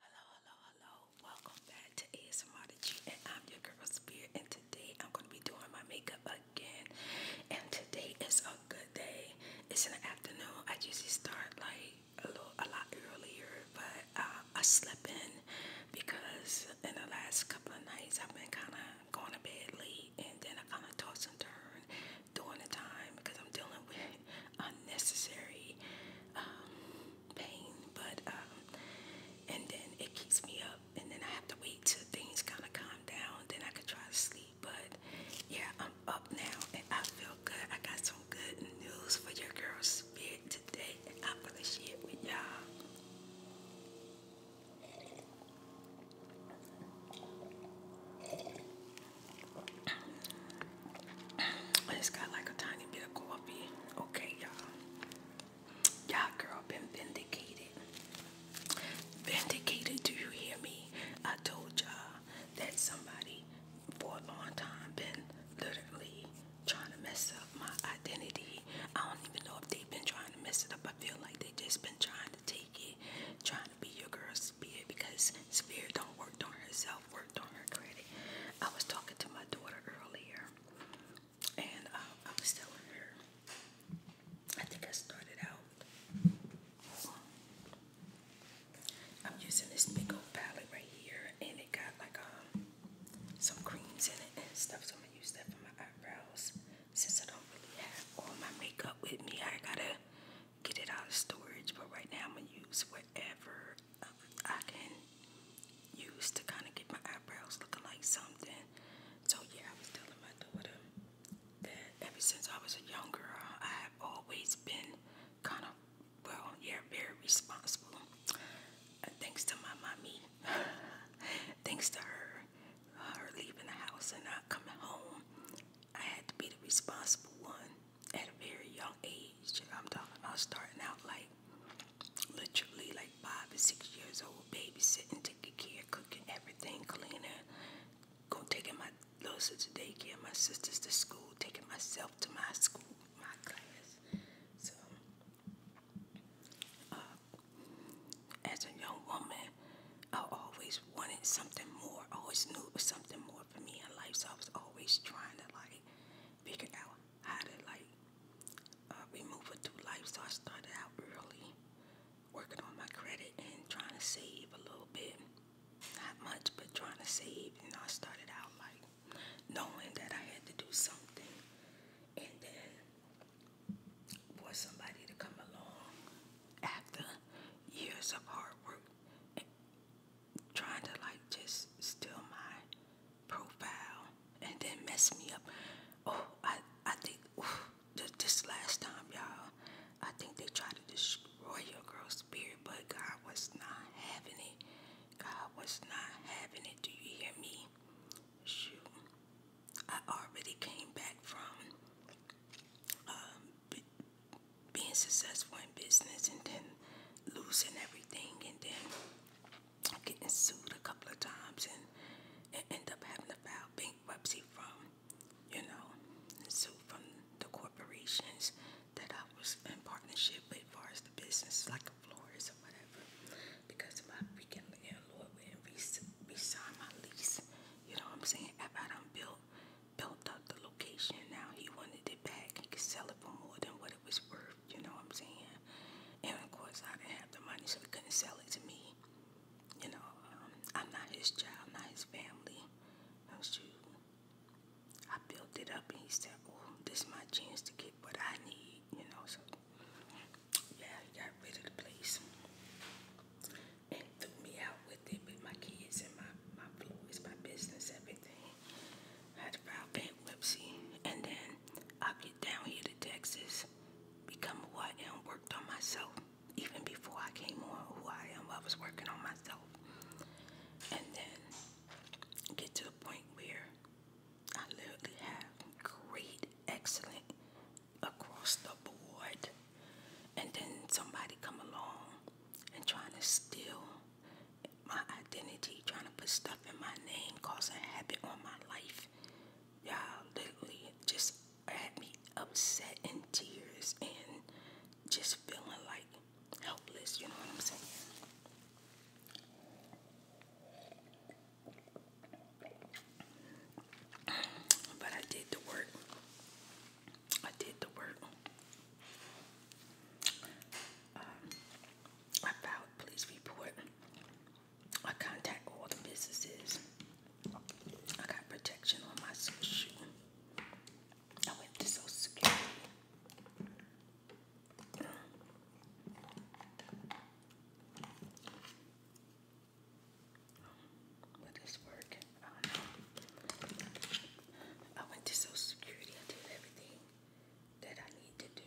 Hello, hello, hello. Welcome back to ASMR The G and I'm your girl Spirit and today I'm going to be doing my makeup again and today is a good day. It's in the afternoon. I usually start like a little a lot earlier but uh, I'm slip because in the last couple of nights I've been kind of going to bed late and then I kind of toss and turn during the time because I'm dealing with unnecessary um, pain, but um, and then it keeps me up and then I have to wait till things kind of calm down, then I can try to sleep, but yeah, I'm up now and I feel good. I got some good news for your girls today I'm gonna share it with y'all. It's got like a tiny bit of coffee. Okay, y'all. Y'all girl been vindicated. Vindicated, do you hear me? I told y'all that somebody for a long time been literally trying to mess up my identity. I don't even know if they've been trying to mess it up. I feel like they just been trying to take it, trying to be your girl's spirit because spirit don't work on herself, worked on her credit. I was talking to my daughter earlier and um, I was telling her, I think I started out. I'm using this big old palette right here, and it got like um some creams in it and stuff. So use that for my eyebrows. Since I don't really have all my makeup with me, I gotta get it out of storage. But right now, I'm gonna use whatever I can use to kind of get my eyebrows looking like something. So, yeah, I was telling my daughter that ever since I was a young girl, I have always been kind of, well, yeah, very responsible. Uh, thanks to my mommy, thanks to her, her leaving the house and not coming home, I had to be the responsible one at a very young age. I'm talking about starting out like literally like five or six years old, babysitting, taking care, cooking everything, cleaning, going taking my little sister to daycare, my sisters to school, taking myself to my school, my class. So uh, as a young woman, I always wanted something more. always knew it was something more for me in life, so I was always trying to like figure out how to like uh, through life. So I started out early, working on my credit and trying to save a little bit. Not much, but trying to save. And I started out like knowing that I had to do something, and then for somebody to come along after years of hard work and trying to like just steal my profile and then mess me up. Oh, I I think this last time, y'all, I think they tried to destroy your girl's spirit, but God was not having it. God was not having it. Do you hear me? shoot, I already came back from um, be being successful in business and then losing everything and then getting sued a couple of times and, and end up having to file bankruptcy from, you know, sued from the corporations that I was in partnership with as far as the business. Like for Florence or whatever because my freaking landlord wouldn't resign my lease. You know what I'm saying? After I done built, built up the location, now he wanted it back. He could sell it for more than what it was worth. You know what I'm saying? And of course, I didn't have the money, so he couldn't sell it to me. You know, um, I'm not his child, not his family. No shoot. I built it up, and he said, "Oh, this is my chance to get what I need." You know, so yeah, he got rid of the place and threw me out with it with my kids and my my is my business, everything. I had to file bankruptcy, and then I get down here to Texas, become who I am, worked on myself. Even before I came on who I am, I was working on myself, and then get to the point where I literally have great, excellent across the board. And then somebody come along and trying to steal my identity, trying to put stuff in my name, causing havoc on my life. Y'all literally just had me upset in tears and just feeling like helpless, you know what I'm saying? But I did the work. I did the work. Um, I filed police report. I contact all the businesses. I got protection on my social. I went to Social Security. Will this I don't know. I went to Social Security. I did everything that I need to do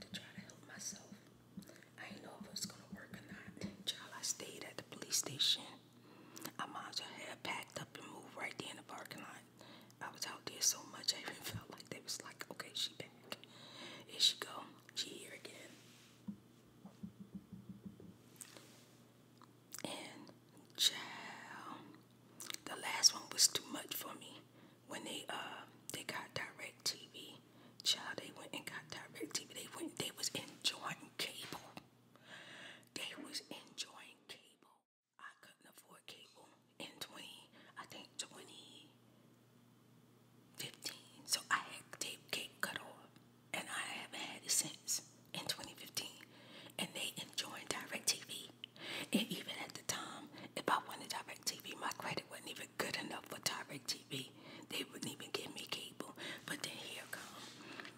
to try to help myself. I didn't know if it was gonna work or not. Child, I stayed at the police station. I might as well have packed up and moved right there in the parking lot. I was out there so much I even felt like they was like, okay, she back. Here she go. She here again. And child, the last one was too much for me. When they uh they got direct child, they went and got direct They went, they was enjoying cable. They was enjoying cable. I couldn't afford cable in 20, I think 20, 15. So I had tape cake cut off, and I haven't had it since in 2015. And they enjoyed DirecTV. And even at the time, if I wanted DirecTV, my credit wasn't even good enough for DirecTV. They wouldn't even give me cable. But then here comes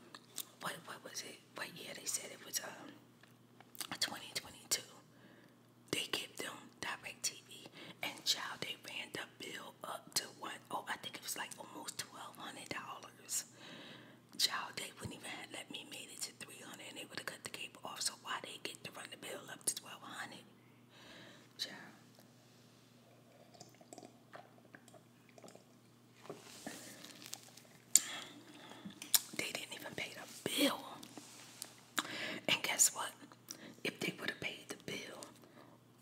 what, what was it? What year they said it was um, 2022. They kept them direct TV and child they ran the bill up to Oh, I think it was like almost twelve hundred dollars. Child they wouldn't even have let me make it to three hundred and they would have cut the cable off so why they get to run the bill up to twelve hundred? Child they didn't even pay the bill. And guess what? If they would have paid the bill,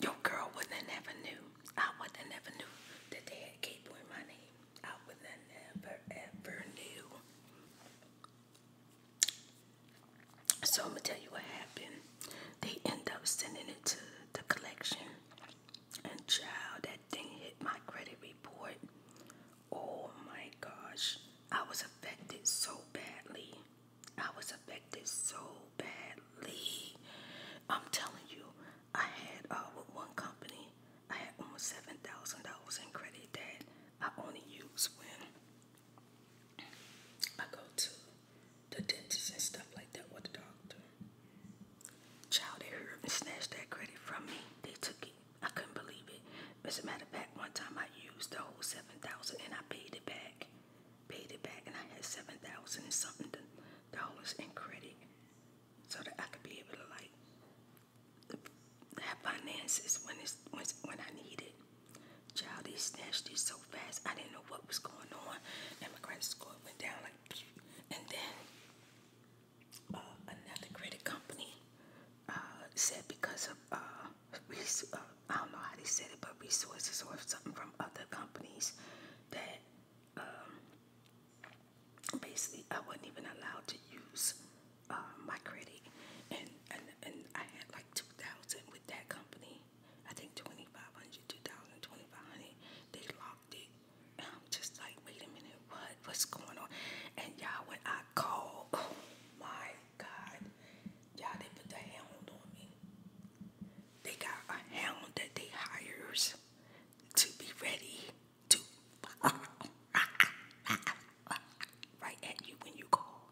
your girl wouldn't never knew. I wouldn't have never knew that they had k my name. I wouldn't have never, ever knew. So I'm going to tell you what happened. They end up sending it to the collection. And child, that thing hit my credit report. Oh my gosh. I was affected so badly. I was affected so badly. I'm telling you, I had uh, with one company, I had almost seven thousand dollars in credit that I only use when I go to the dentist and stuff like that with the doctor. Child, they heard and snatched that credit from me. They took it. I couldn't believe it. As a matter of fact, one time I used the whole seven thousand and I paid it back paid it back, and I had seven thousand and something dollars in credit, so that I could be able to like have finances when it's when, when I need it. Child, they snatched it so fast. I didn't know what was going on, and my credit score went down like. And then uh, another credit company uh, said because of uh, uh, I don't know how they said it, but resources or something from other companies that um, basically I wasn't even allowed to use uh, my credit, and, and and I had like two thousand with that company. I think 2500 2000 2500 They locked it. And I'm just like, wait a minute, what? What's going on? And y'all, when I called, oh my God, Y'all, they put the hound on me. They got a hound that they hires to be ready to right at you when you call.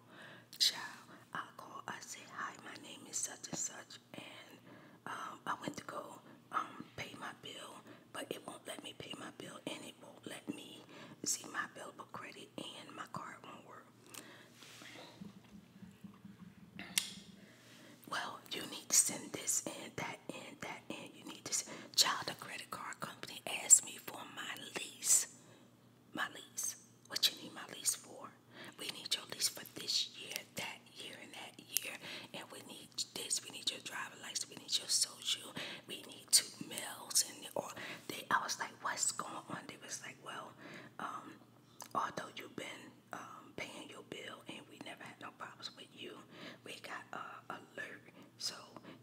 Child, I call, I say, hi, my name is such and such, and um, I went to go um, pay my bill, but it won't let me pay my bill, and it won't let me see my available credit, and my card won't work. Well, you need to send this in, that in, that in. You need to send. Child, the credit card company asked me for my lease. My lease. What you need my lease for? We need your lease for this year, that year, and that year. And we need this. We need your driver license. We need your social. We need two mails. And or they, I was like, what's going on? They was like, well, um, although you've been um, paying your bill and we never had no problems with you, we got uh, alert. So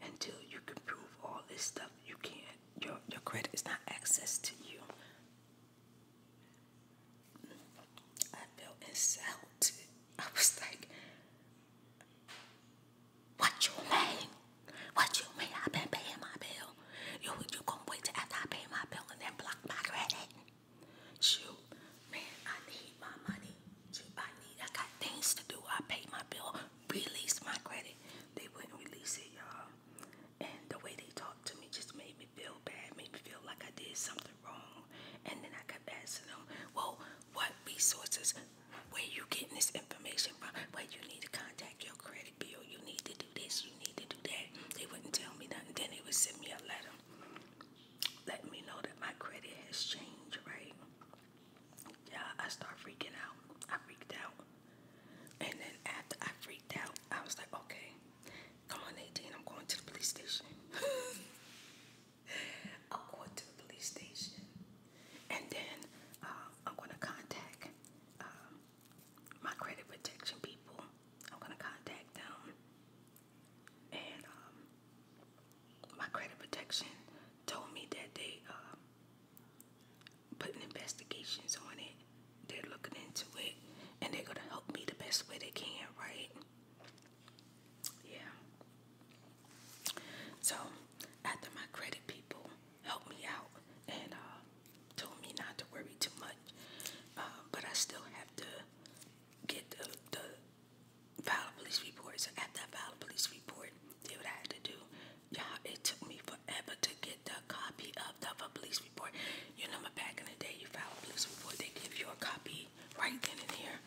until you can prove all this stuff, you can't. Your your credit is not access to you. I felt insulted. I was like, "What you mean? What you mean? I've been paying my bill. You you gonna wait till after I pay my bill and then block my credit? Shoot, man, I need my money. Shoot, I need. I got things to do. I pay my bill, release my credit. They wouldn't release it, y'all. And the way they talked to me just made me feel bad. Made me feel like I did something wrong. And then I kept asking them, well, what resources? Where you getting this information from? Where you need to contact your credit bill. You need to do this. You need to do that. They wouldn't tell me nothing. Then they would send me a letter, letting me know that my credit has changed. Right? Yeah, I start freaking out. I freaked out, and then after I freaked out, I was like, okay, come on, 18. I'm going to the police station. I'm going to the police station, and then uh, I'm going to contact uh, my credit protection people. I'm gonna contact them, and um, my credit protection told me that they uh, um, putting investigations on it. They're looking into it, and they're gonna help me the best way they can, right? Yeah. So after my credit people helped me out, and uh, told me not to worry too much, uh, but I still have to get the, the file police report. So after I filed police report, did what I had to do. Y'all, it took me forever to get the copy of the police report. You know, back in the day, you file a police report, they give you a copy right then and there.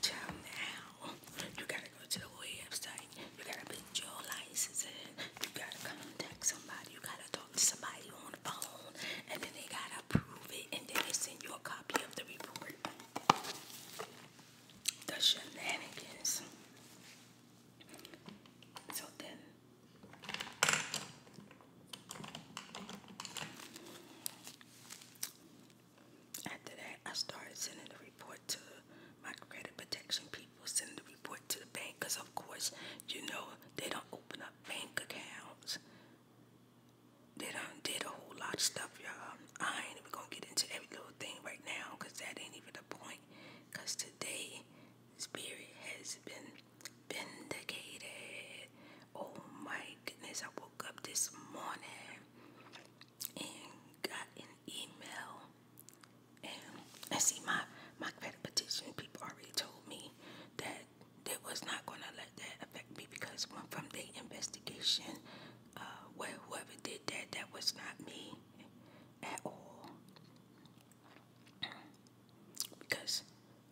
Child, now you gotta go to the website. You gotta put your You gotta contact somebody. You gotta talk somebody on the phone and then they gotta approve it and then they send you a copy of the report. The shenanigans. So then after that I started sending the report to my credit protection people, sending the report to the bank because of course you know they don't open up bank accounts. They done did a whole lot of stuff, y'all. I ain't even gonna get into every little thing right now because that ain't even the point. Because today, Spirit has been vindicated. Oh my goodness, I woke up this morning and got an email. And I see my my credit petition people already told me that they was not going to let that affect me because from the investigation, uh, whoever did that, that was not me at all. because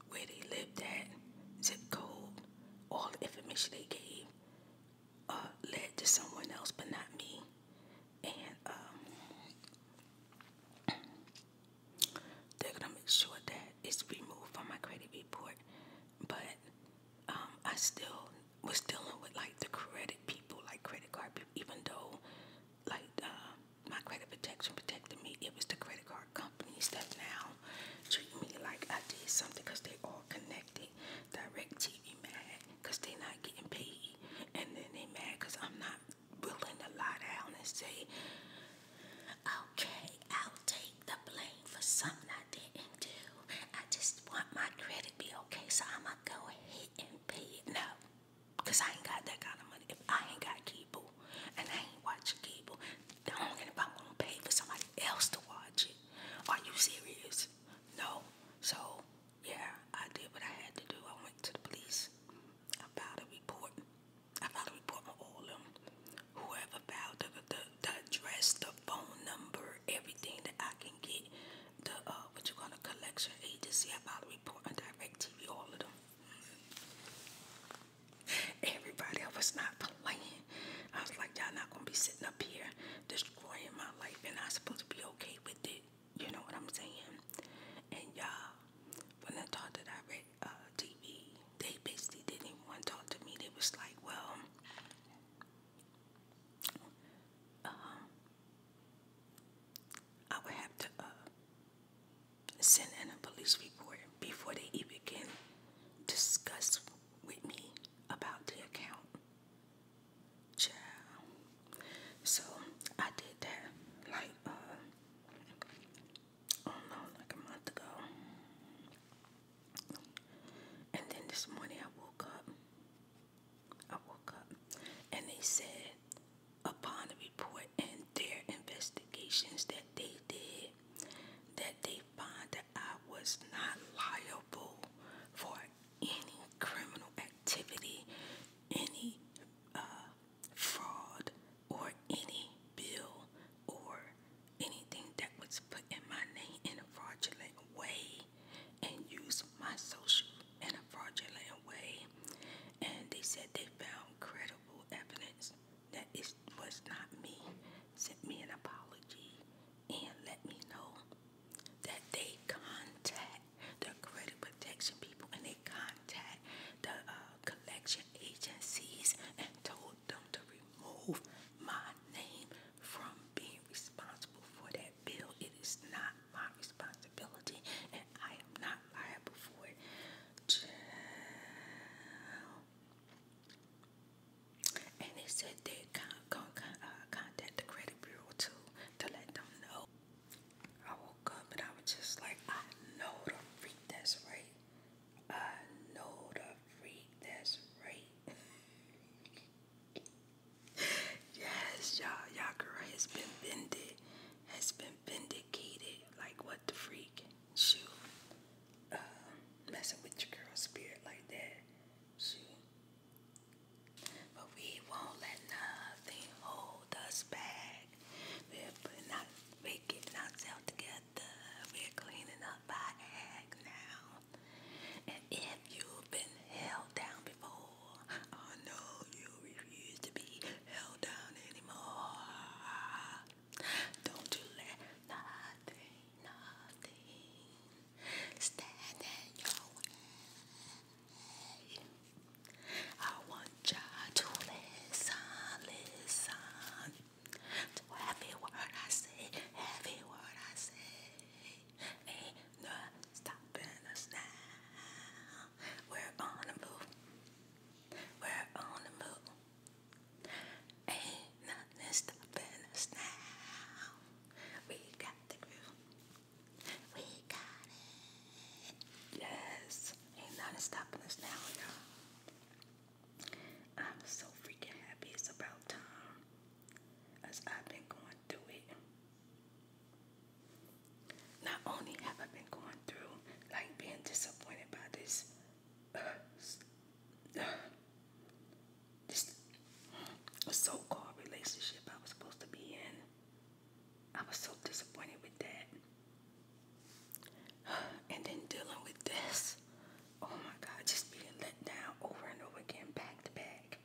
where they lived at, zip code, all information they gave uh, led to someone else, but not me. And um, they're gonna make sure that it's removed from my credit report. But um, I still was dealing with like the credit people, like credit card people, even though like uh, my credit protection protected me. It was the credit card companies that now treat me like I did something because they all connected. Direct TV mad because they not getting paid, and then they mad because I'm not willing to lie down and say, okay, I'll take the blame for something I didn't do. I just want my credit be okay, so I'm going to go ahead and pay it. No, because I ain't got that kind of money. If I ain't got cable and I ain't watch cable, don't if I'm going to pay for somebody else to watch it. Are you serious? No. So, yeah, I did what I had to do. I went to the police about a report. I probably put my all them. Whoever filed the, the, the address, the phone number, everything that I can get, the uh, what you gonna collection agency, I probably report on direct TV, all of them. Everybody, was not playing. I was like, y'all not gonna be sitting up here destroying my life, and I'm supposed to be okay with it. You know what I'm saying? And y'all, when I talk to direct TV, uh, they basically didn't even want to talk to me. They was like, well, um, I would have to uh, send in a police report before they even can discuss with me about the account. Child. So I did that like uh, I do like a month ago. And then this morning I woke up. I woke up and they said upon the report and their investigations that they did that they find that I was not liable for any criminal activity, any uh, fraud or any bill or anything that was put in my name in a fraudulent way and used my social in a fraudulent way. And they said they found credible evidence that it was not me. Sent me an apology and let me know that they contact the credit protection people and they contact the uh, uh, collection agencies and told them to remove my name from being responsible for that bill. It is not my responsibility and I am not liable for it. And they said they con con to uh, contact the credit bureau too to let them know. I woke up and I was just like, I know the freak that's right. I know the freak that's right. yes, y'all, y'all girl has been bended, has been vindicated. Like what the freak? Shoot, uh, messing with your girl's spirit like that. Shoot. But we won't let nothing hold us back. We're putting ourselves together. We're cleaning up our act now. And if you've been held down before, I know you refuse to be held down anymore. Don't you let nothing, nothing stand in your way. I want Jah listen, listen to every word I say, every word I say. Ain't no stopping us now. We're on the move. We're on the move. Ain't nothing stopping us now. We got the groove. We got it. Yes. Ain't nothing stopping us now, you I'm so freaking happy it's about time as I've been going through it. Not only have I been going through like being disappointed by this uh, uh, this so-called relationship I was supposed to be in. I was so disappointed with that and then dealing with this. Oh my God, just being let down over and over again, back to back.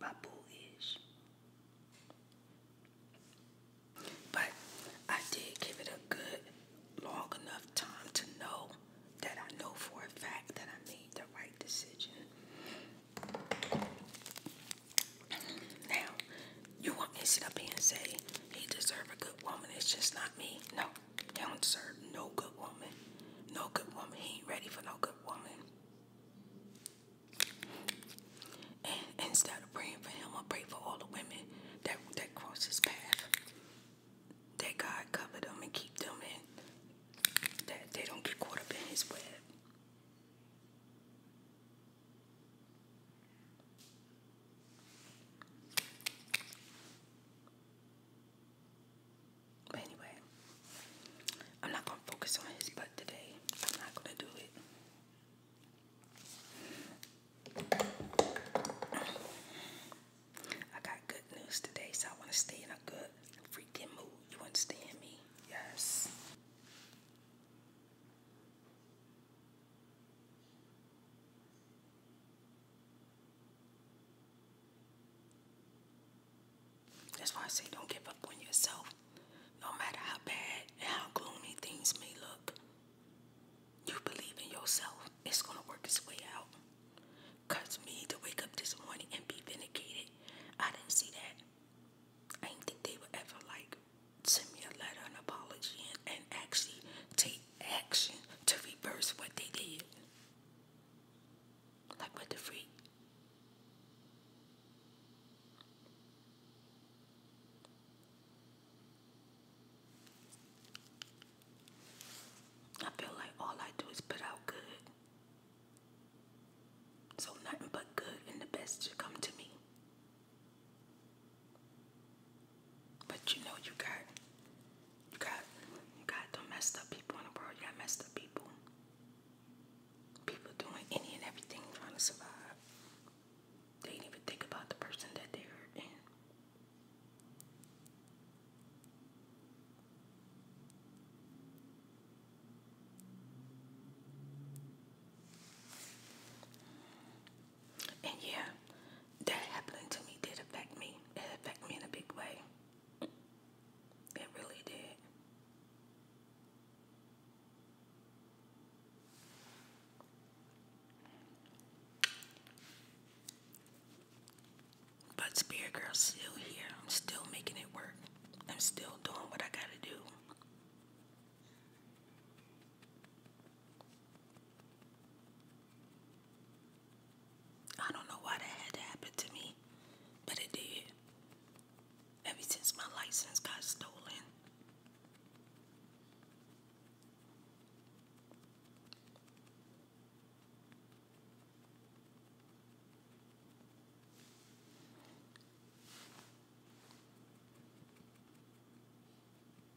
My boo But I did give it a good, long enough time to know that I know for a fact that I made the right decision. Now, you want me to sit up here and say he deserve a good woman? It's just not me. No, he don't deserve no good woman. No good woman. He ain't ready for no good woman. And instead of praying for him, I pray for all the women that that cross his path. That God cover them and keep them in. That they don't get caught up in his web anyway, I'm not gonna focus on his butt today. I'm not gonna do it. I got good news today, so I want to stay in a good freaking mood. You understand me? Yes. That's why I say don't give up on yourself. No matter how bad and how gloomy things may look, you believe in yourself. It's going to work its way out. Cause me to wake up this morning and be vindicated, I didn't see that. I didn't think they would ever like send me a letter, an apology, and, and actually take action to reverse what they did. Like what the freak? I feel like all I do is put out good. So nothing but good and the best should come to me. But you know you got you got you got the messed up people in the world, you got messed up people. People doing any and everything trying to survive. They did even think about the person that they're in. And yeah, that happening to me did affect me. It affected me in a big way. It really did. But Spirit Girl's still here. I'm still making it work. I'm still doing what I gotta do. I don't know why that had to happen to me, but it did. Ever since my license got stolen,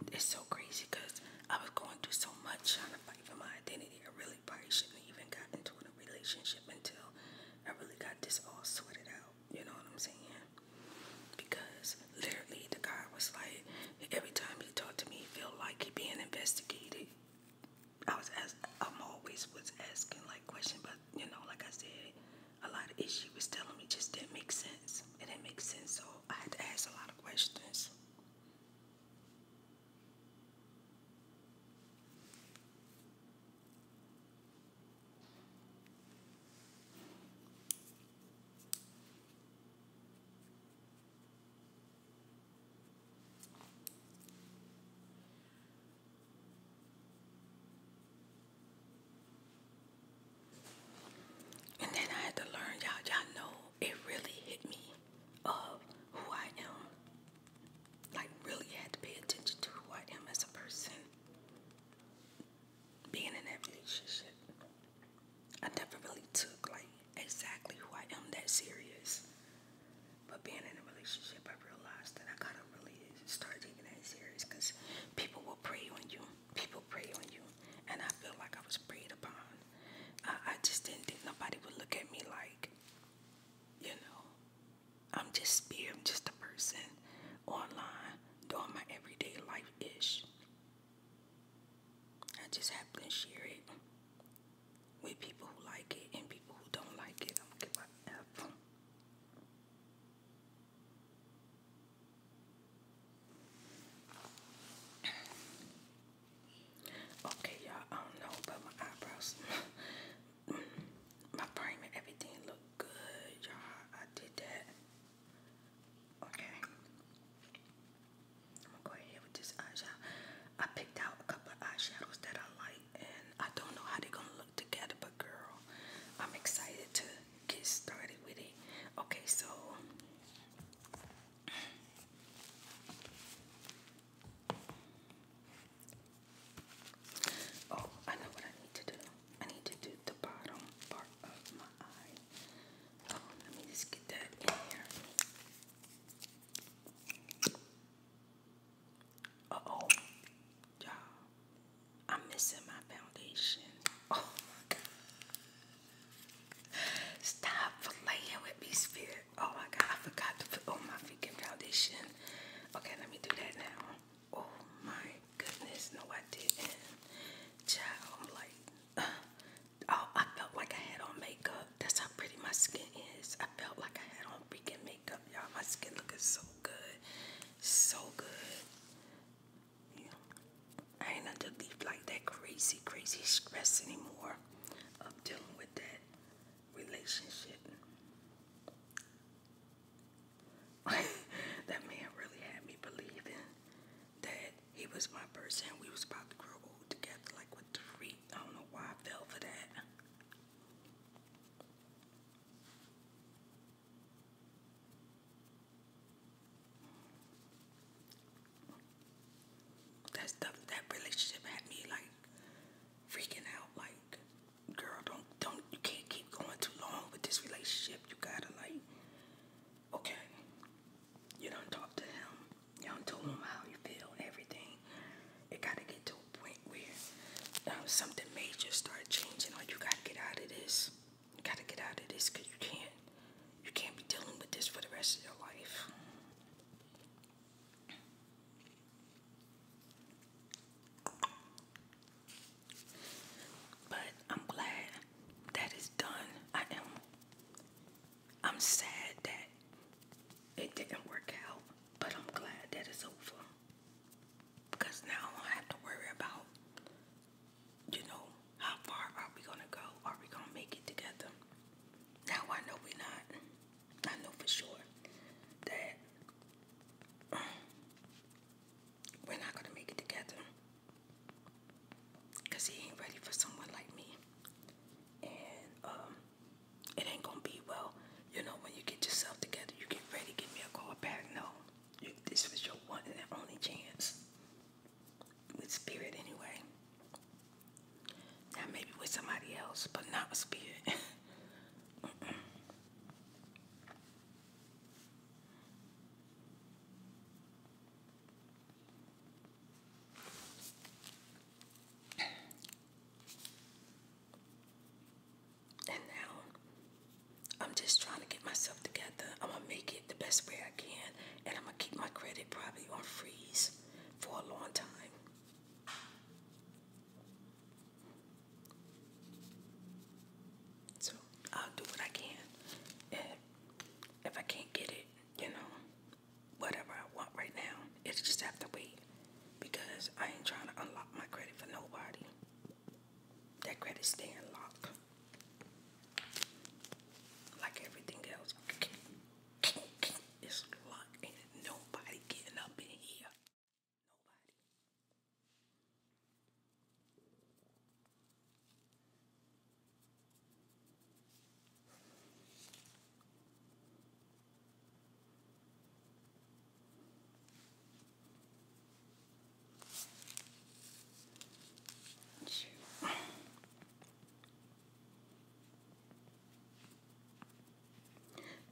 And it's so crazy because I was going through so much trying to fight for my identity I really probably shouldn't have even got into a relationship until I really got this all sorted out. You know what I'm saying? Because literally the guy was like, every time he talked to me, he felt like he being investigated. I was as I'm always was asking like questions, but you know, like I said, a lot of issues was telling me just didn't make sense. It didn't make sense, so I had to ask a lot of questions. And then I had to learn, y'all, y'all know it really hit me of who I am. Like, really had to pay attention to who I am as a person. Being in that relationship, I never really took, like, exactly who I am that serious. But being in a relationship, I realized that I gotta really start taking that serious because people will prey on you. People prey on you. And I feel like I was preyed upon. I just didn't think nobody would look at me like you know, I'm just me, I'm just a person online doing my everyday life ish. I just happen to share it with people who like it and people who don't like it. I'm gonna give my F. Okay, y'all, I don't know, but my eyebrows, my frame everything look good, y'all. I did that. Okay. I'm gonna go ahead with this eyeshadow. I picked out a couple of eyeshadows that I like, and I don't know how they're gonna look together, but girl, I'm excited to get started with it. Okay, so Oh, I know what I need to do. I need to do the bottom part of my eye. Oh, let me just get that in here. Uh oh, y'all. I'm missing my foundation. Oh Stop playing with me, Spirit. Oh my god, I forgot to put on my freaking foundation. Okay, let me do that now. Oh my goodness, no, I didn't. Child, I'm like, uh, oh, I felt like I had on makeup. That's how pretty my skin is. I felt like I had on freaking makeup, y'all. My skin looking so good, so good. Yeah. I ain't under leaf like that crazy, crazy stress anymore of dealing with that relationship. that man really had me believing that he was my person. We was about to grow old together like with three. I don't know why I fell for that. That stuff, that relationship had me like freaking out like girl don't don't you can't keep going too long with this relationship you gotta like okay you don't talk to him you don't tell him how you feel everything it gotta get to a point where um, something major start changing or you gotta get out of this you gotta get out of this because you can't you can't be dealing with this for the rest of your life but I'm glad that done. I am I'm sad that it didn't work out, but I'm glad that it's over. Because now I don't have to worry about, you know, how far are we gonna go? Are we gonna make it together? Now I know we're not. I know for sure that um, we're not gonna make it together. Cause he ain't ready for someone like me. And um it ain't gonna be well, you know, when you get yourself together, you get ready, give me a call back. No. this was your one and only chance. With spirit anyway. Now maybe with somebody else, but not with spirit. And now I'm just trying to get myself together. I'm gonna make it the best way I can, and I'm gonna keep my credit probably on freeze for a long time. So I'll do what I can. And if I can't get it, you know, whatever I want right now, it just have to wait. Because I ain't trying to unlock my credit for nobody. That credit stay unlocked. Like everything else. It's locked. nobody getting up in here. Nobody.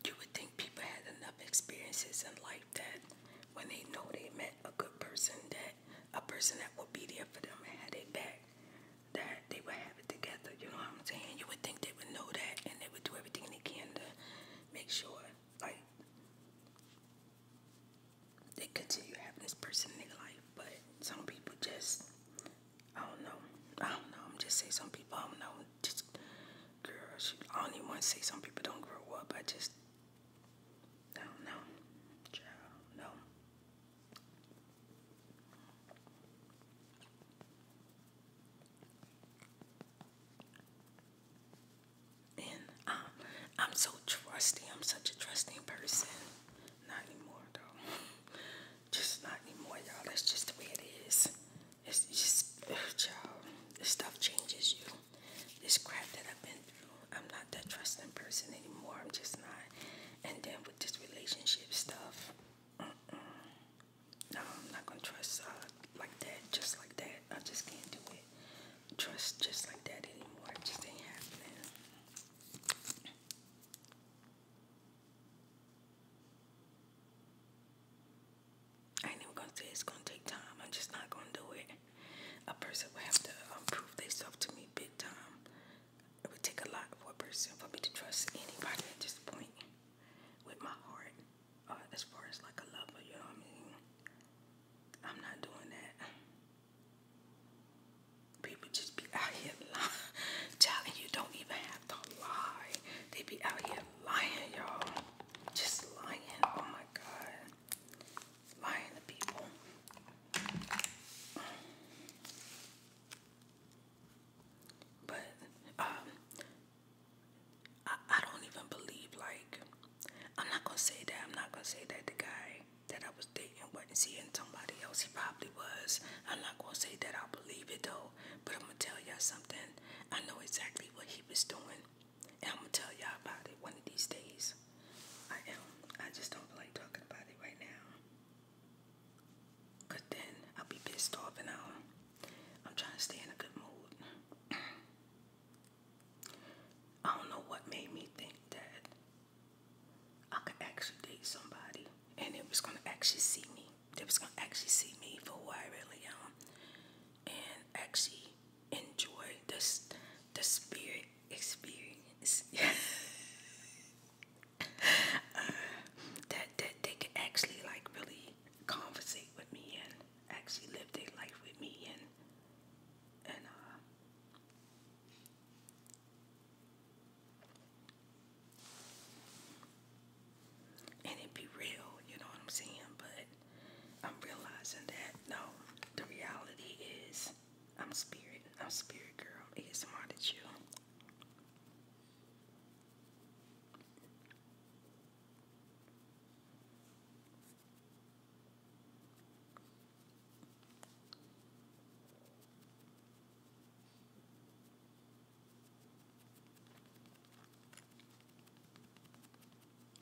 You would think people had enough experiences in life that when they know they met a good person, that a person that would be there for them and had their back, that they would have it together. You know what I'm saying? You would think they would know that and they would do everything they can to make sure, like, they continue having this person in their life. But some people just, I don't know. I don't know. I'm just saying some people, I don't know just girl. I don't even want to say some people don't grow up. I just I don't know, No. And um, I'm so trusty. I'm such a trusting person. Not anymore, though. Just not anymore, y'all. That's just the way it is. It's just, y'all, this stuff changes you. This crap that I've been through, I'm not that trusting person anymore. I'm just not. And then with this relationship stuff, no, I'm not gonna trust uh, like that, just like that. I just can't do it. Trust just like that anymore. It just ain't happening. I ain't even gonna say it's gonna take time. I'm just not gonna do it. A person will have to um, prove themselves to me big time. It would take a lot for a person for me to trust anybody at this point with my heart. Uh, as far as like a lover, you know what I mean? I'm not doing that. People just be out here lying. Child, and you don't even have to lie. They be out here lying, y'all. Just lying. Oh my God. Lying to people. But um, I, I don't even believe, like, I'm not going to say that. I'm not going to say that the guy that I was dating wasn't seeing somebody else. He probably was. I'm not going to say that I believe it, though. But I'm gonna tell y'all something. I know exactly what he was doing, and I'm gonna tell y'all about it one of these days. I am. I just don't like talking about it right now. then I'll be pissed off, and I'm trying to stay in a good mood. I don't know what made me think that I could actually date somebody and it was gonna actually see me. They was gonna actually see me for who I really am and actually enjoy this the spirit experience uh, that that they could actually like really conversate with me and actually live their life with me and and uh, and it be real, you know what I'm saying? But I'm realizing that no, the reality is I'm spirit, I'm spirit girl, it's smart at you.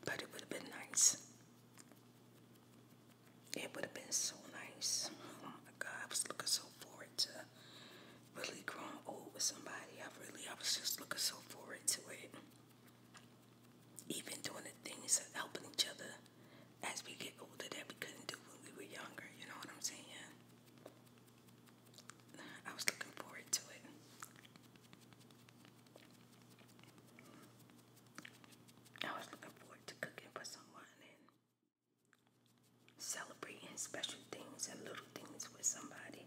But it would have been nice. It would have been so nice. Oh my God, I was looking so forward to really growing old with somebody. I really, I was just looking so forward to it. Even doing the things of helping each other as we get older that we couldn't do when we were younger. You know what I'm saying? I was looking forward to it. I was looking forward to cooking for someone and celebrating special things and little things with somebody.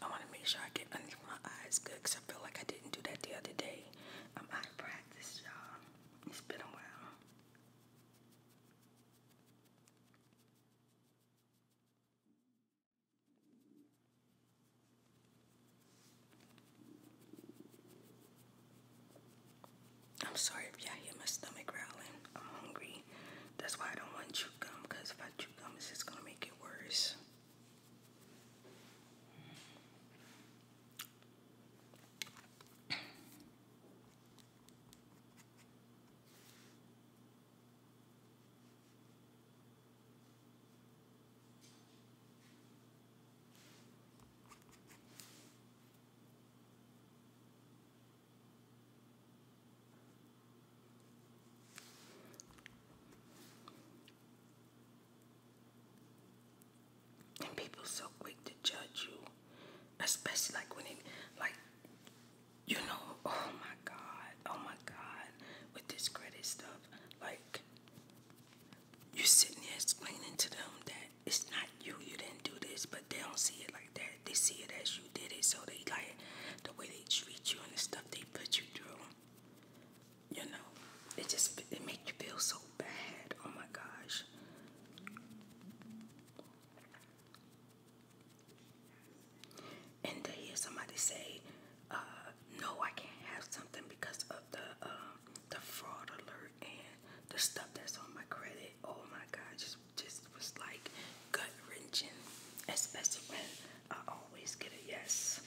I want to make sure I get under my eyes good because I feel like I didn't do that the other day. I'm out of practice, y'all. It's been a while. I'm sorry if you hear my stomach growling. I'm hungry. That's why I don't want chew gum, because if I chew gum, it's just going to make it worse. And people so quick to judge you, especially like when it, like, you know, oh my God, oh my God, with this credit stuff, like, you're sitting there explaining to them that it's not you you didn't do this, but they don't see it like that. They see it as you did it, so they like the way they treat you and the stuff they put you through. You know, it just it make you feel so bad. Oh my gosh. And to hear somebody say, uh, "No, I can't have something because of the um, the fraud alert and the stuff that's on my credit." Oh my God, just was like gut wrenching, especially when I always get a yes.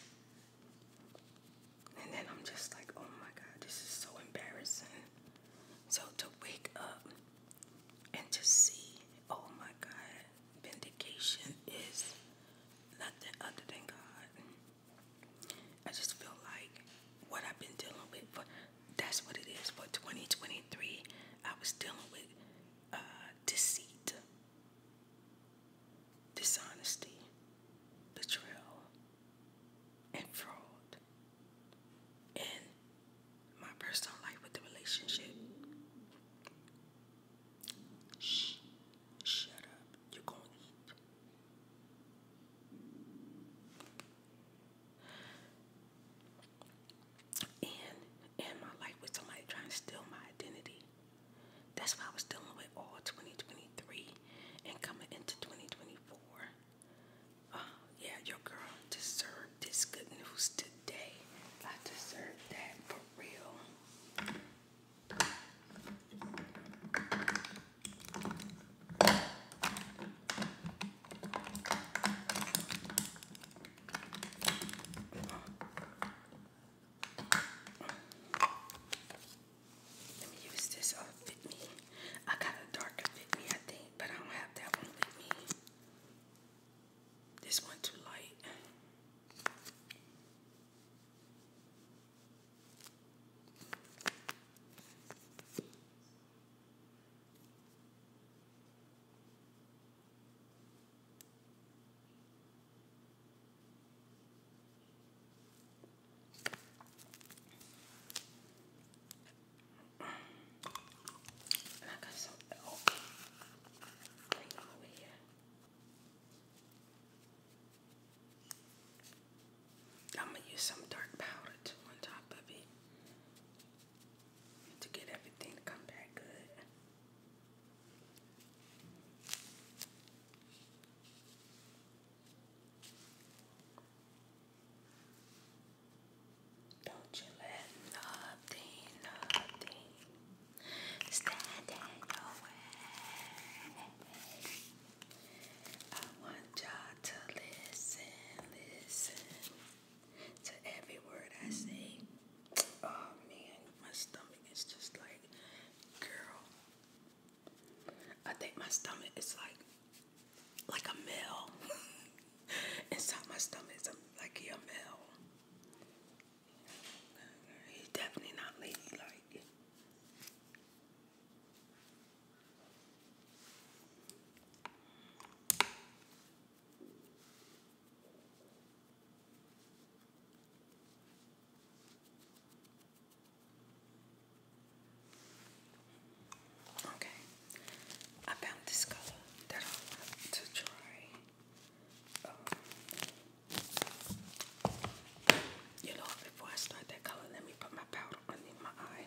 And then I'm just like, oh my God, this is so embarrassing. So to wake up and to see, oh my God, vindication is nothing other than God. I just feel like what I've been dealing with for that's what it is for 2023. I was dealing with uh, deceit, dishonesty, betrayal, and fraud in my personal life with the relationship. Shh, shut up. You're going to eat and in my life with somebody trying to steal my identity. That's what I was dealing with all 2023 and coming into 2024. Uh, yeah, your girl deserved this good news today. I deserve that for real. Let me use this uh, Fit Me. I got a darker Fit Me, I think, but I don't have that one with me. This one too light. And I am gonna use some dark powder on top of it to get everything to come back good. Don't you let nothing, nothing stand in your way. I want y'all to listen, listen to every word I say. Oh man, my stomach is just like, girl. I think my stomach is like, like a mill. Inside my stomach is like a mill. He's definitely not ladylike. Okay, I found this color that I want to try. Um, you know, before I start that color, let me put my powder underneath my eye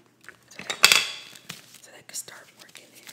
so that, so start working it.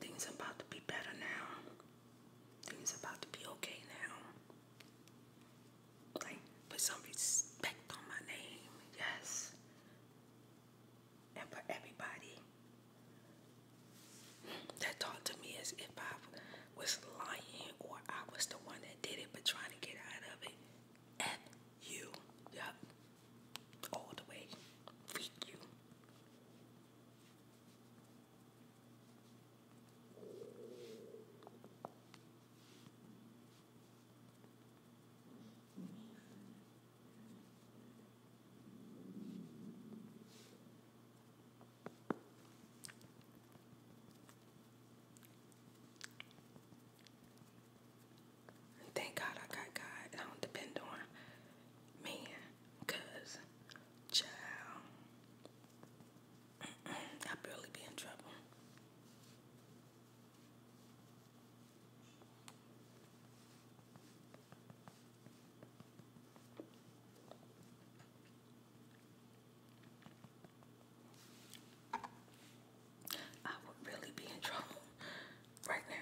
Things are about to be better now. Things are about to be okay now. Like, put some respect on my name, yes. And for everybody that talked to me as if I was lying or I was the one that did it but trying to get out of it. F you. Yep all the way. Feed you thank God I got God. I don't depend on men, cause child, I barely be in trouble. I would really be in trouble right now.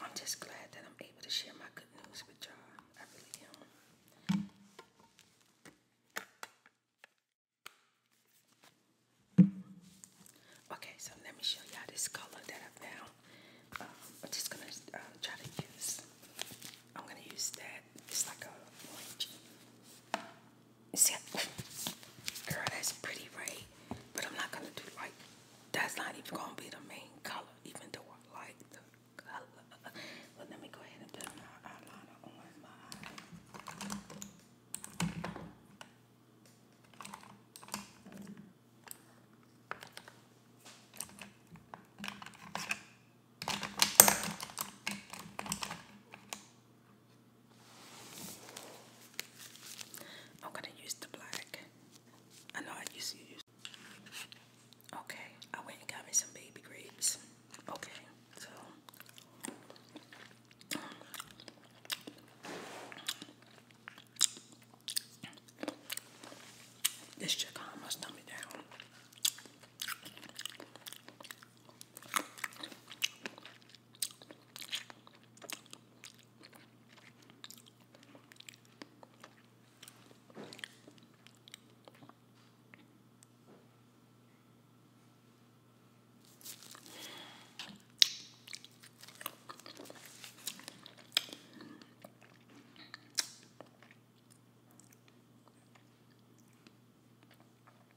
I'm just glad that I'm able to share my good news with y'all. I really am. Okay, so let me show y'all this color that I found. Um, I'm just gonna uh, try to use. I'm gonna use that. It's like a orange. See, girl, that's pretty, right? But I'm not gonna do like that's not even gonna be the main color, even though I like the color. let me go ahead and put my eyeliner on my. I'm gonna use the black. I know I used to use. Okay, I went and got me some baby grapes. Okay, so this chick almost dumbed me down.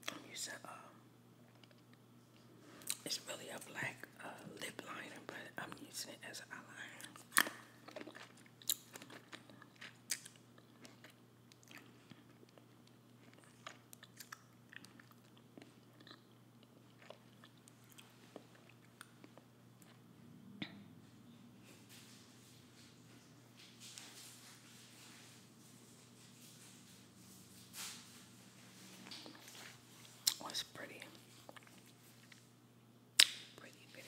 I'm using um, it's really a black uh, lip liner, but I'm using it as an eyeliner was pretty, pretty pretty.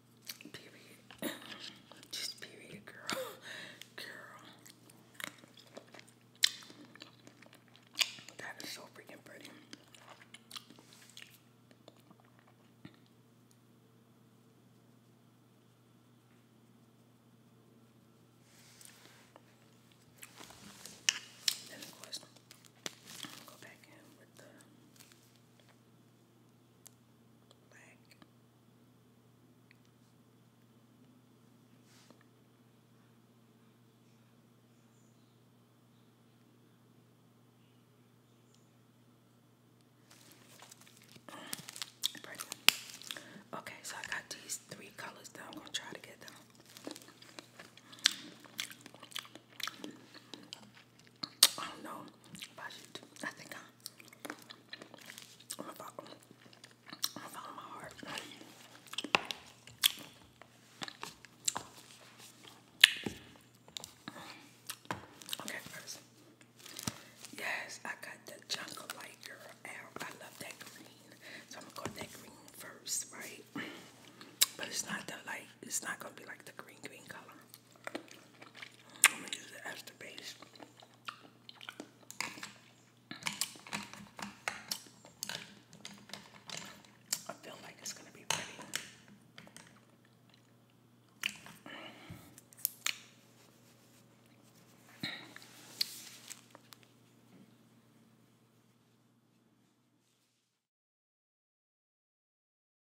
Period. Just period, girl. Girl. That is so freaking pretty. Then of course, go back in with the black. Okay, so I got these three colors that I'm going to try to get them. I don't know if I should I think I'm gonna follow, my heart. Okay, first. Yes, I got the Jungle Light Girl out. I love that green. So I'm gonna go with that green first, right? But it's not the light, it's not gonna be like the green green color. I'm gonna use the as the base. I feel like it's gonna be pretty.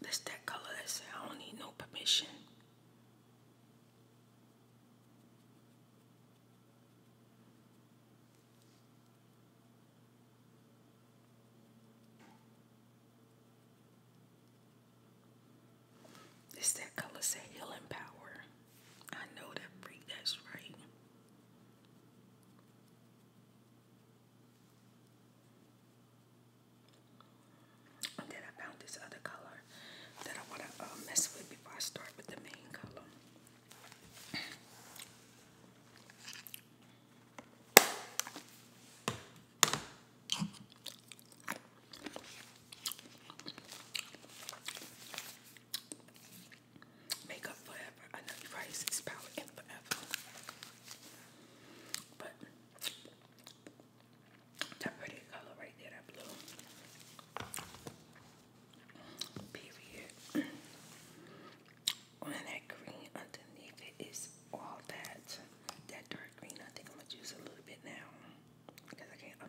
That's that color that said I don't need no permission. It's that color say healing power. I know that freak, that's right. then I found this other color that I want to uh, mess with before I start with the main color. Makeup forever. I know your price is power in forever. But that pretty color right there, that blue. Period on that green underneath it is all that that dark green. I think I'm gonna use a little bit now because I can't. I'm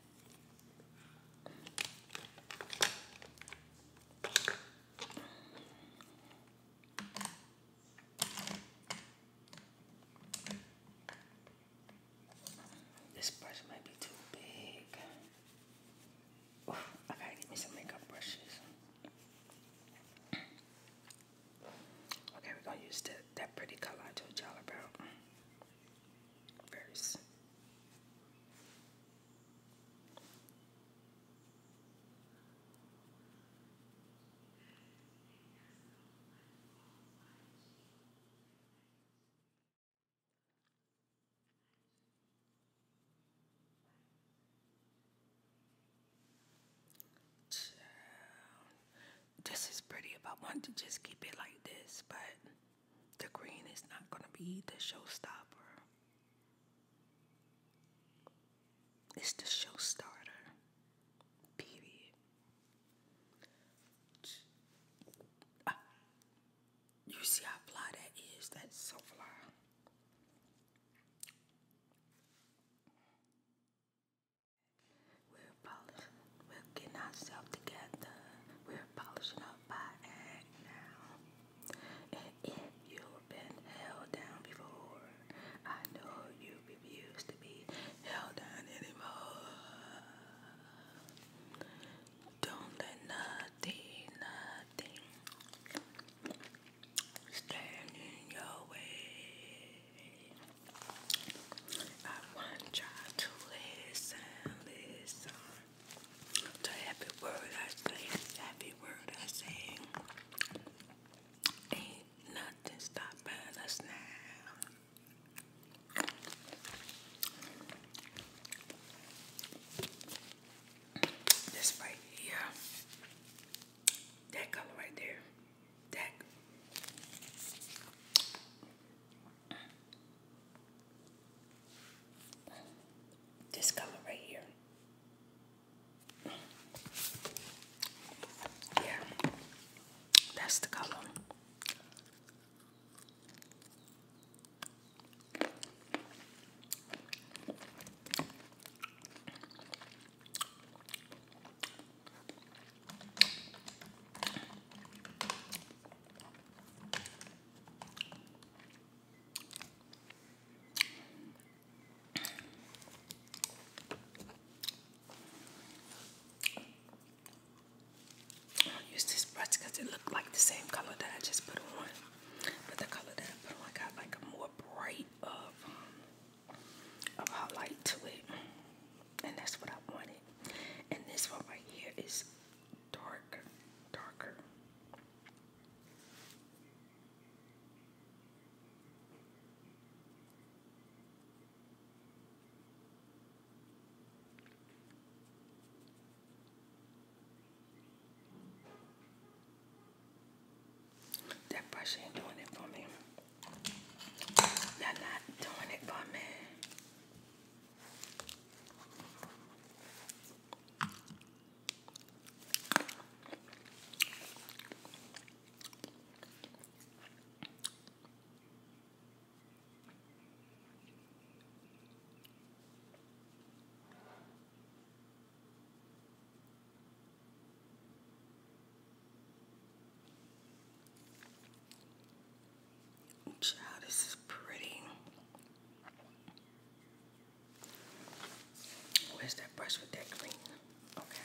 This brush might be too big. Okay, give me some makeup brushes. Okay, we're gonna use the, that pretty color I told y'all about. First. This is pretty if I wanted to just keep it like this, but the green is not going to be the showstopper. It's the showstarter, Period. Ah, you see how fly that is? That's so fly. We're polishing, we're getting ourselves together. We're polishing up by act now. And if you've been held down before, I know you refuse to be held down anymore. Don't let nothing, nothing stand in your way. I want you to listen, listen. The happy word I say, happy word I say, ain't nothing stopping us now. This right here, that color right there, that this color right here. Yeah, that's the color. I do use this brush because it looked like the same color that I just put on, but the color that I put on got like a more bright of um, of highlight to it, and that's what I wanted. And this one right here is dark, darker. That brush ain't doing it for me. they not doing it for me. Child, this is pretty. Where's that brush with that green? Okay.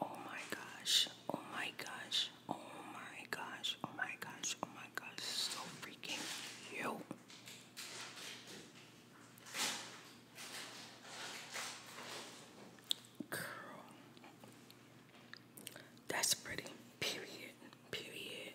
Oh my gosh. Oh my gosh. Oh my gosh. Oh my gosh. Oh my gosh. So freaking cute. Girl. That's pretty. Period. Period.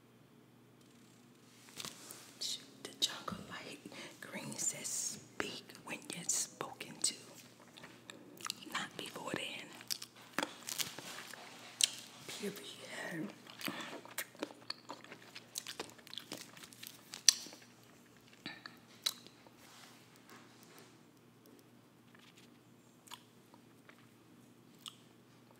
the jungle light green says speak when you're spoken to, not before then. Period.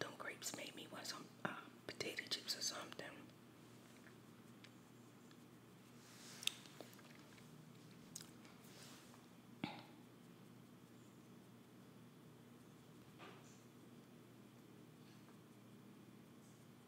Them grapes made me want some uh, potato chips or something.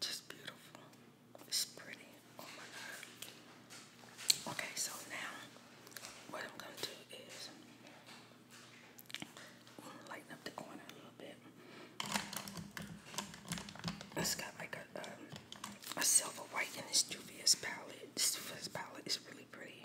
Just beautiful. It's pretty. Oh my god. Okay, so now what I'm gonna do is lighten up the corner a little bit. It's got like a um, a silver white in this Juvia's palette. This Juvia's palette is really pretty.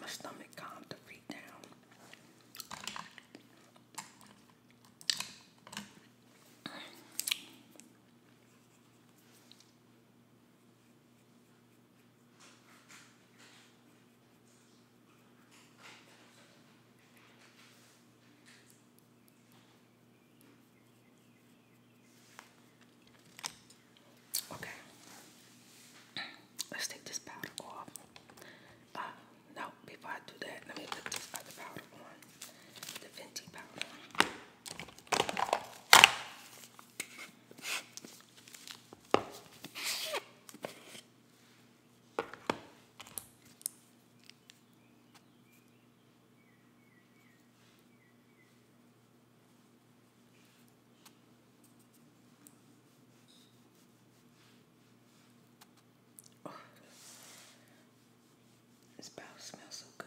my stomach calmed to be down. Okay. Let's take this powder off. Uh, no, before I do that, let me put this other powder on. The Fenty powder. this bottle smells so good.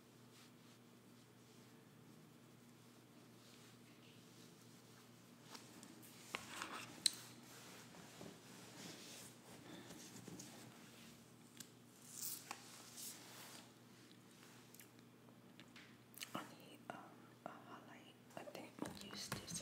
Um, uh, I need a highlight. I think I'm gonna use this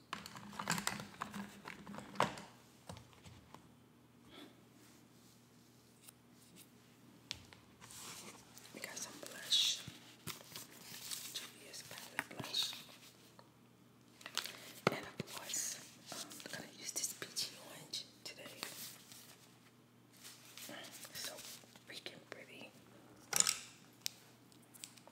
We got some blush. Julia's palette blush. And of course, I'm um, gonna use this peachy orange today. So freaking pretty.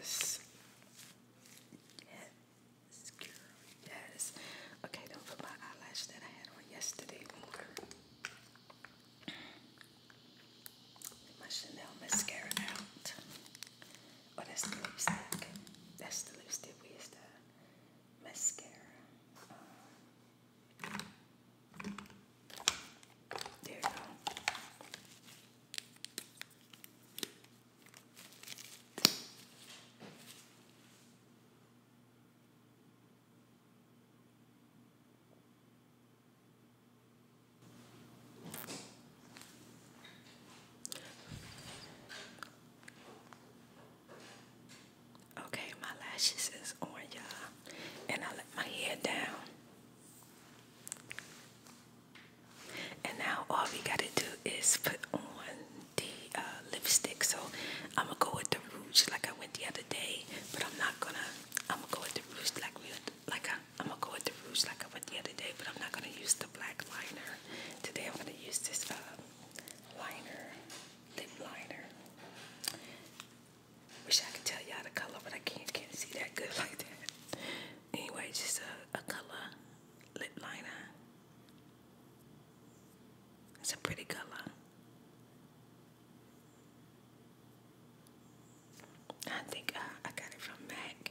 Yes. Yes, Okay, don't put my eyelash that I had on yesterday on My Chanel mascara out. Oh, that's the lipstick. That's the lipstick. Where's the mascara? Uh, there you go. Okay, my lashes is on y'all, and I let my hair down and now all we gotta do is put on the uh, lipstick. So I'm gonna go with the rouge like I went the other day, but I'm not gonna. I'm gonna go with the rouge like we like uh, I, am gonna go with the rouge like I went the other day, but I'm not gonna use the black liner today. I'm gonna use this uh, liner, lip liner. Wish I could tell y'all the color, but I can't can't see that good like that. Anyway, just a, a color lip liner. It's a pretty color. I think uh, I got it from Mac.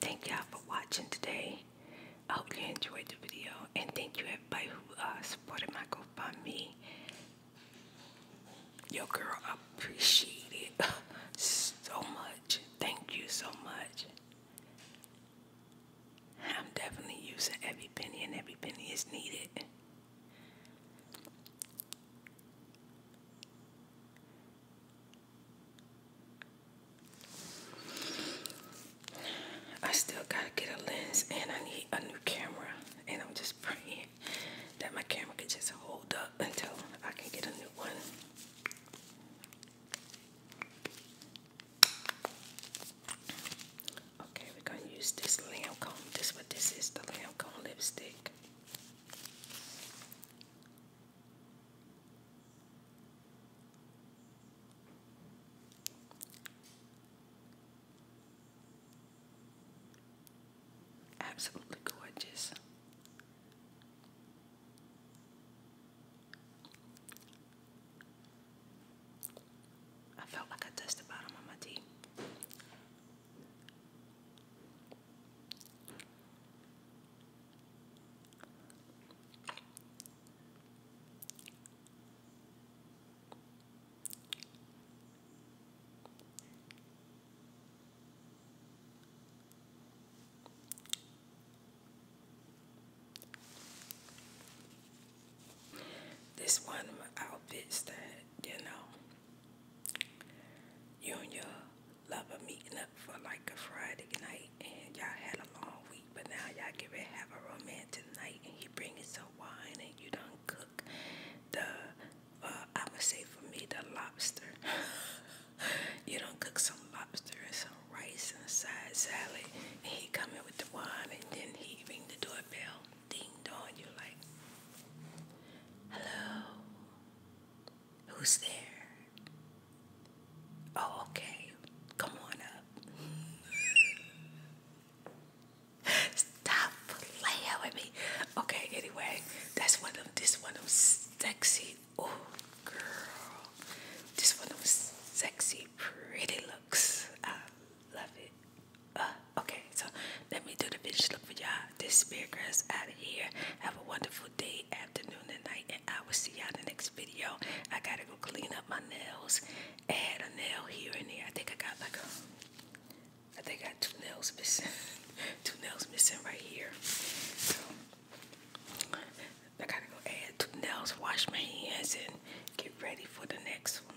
Thank y'all for watching today. I hope you enjoyed the video and thank you everybody who uh, supported my GoFundMe. Yo girl, I appreciate it so much. Thank you so much. I'm definitely using every penny, and every penny is needed. I still gotta get a lens, and I need a new camera. And I'm just praying that my camera can just hold up until I can get a new one. Okay, we're going to use this Lancome. This what this is, the Lancome lipstick. Absolutely gorgeous. I felt like I touched the bottom of my tea. This one of my outfits that, you know, you and your lover meeting up for like a Friday night and y'all had a long week, but now y'all get ready to have a romantic night and he bringing some wine and you done cook the, uh, I would say for me, the lobster. you done cook some lobster and some rice and side salad and he come with the wine and then he ring the doorbell, ding dong, you're like, hello, who's there? Oh, okay, come on up. Stop playing with me. Okay, anyway, that's one of this one of sexy, oh girl, this one of sexy pretty looks. Um, love it. Uh, okay, so let me do the finish look for y'all. This spirit girl's out of here. Have a wonderful day, afternoon, and night, and I will see y'all in the next video. I gotta go clean up my nails. Add a nail here and there. I think I got like a, I think I two nails missing, two nails missing right here. So I gotta go add two nails, wash my hands, and get ready for the next one.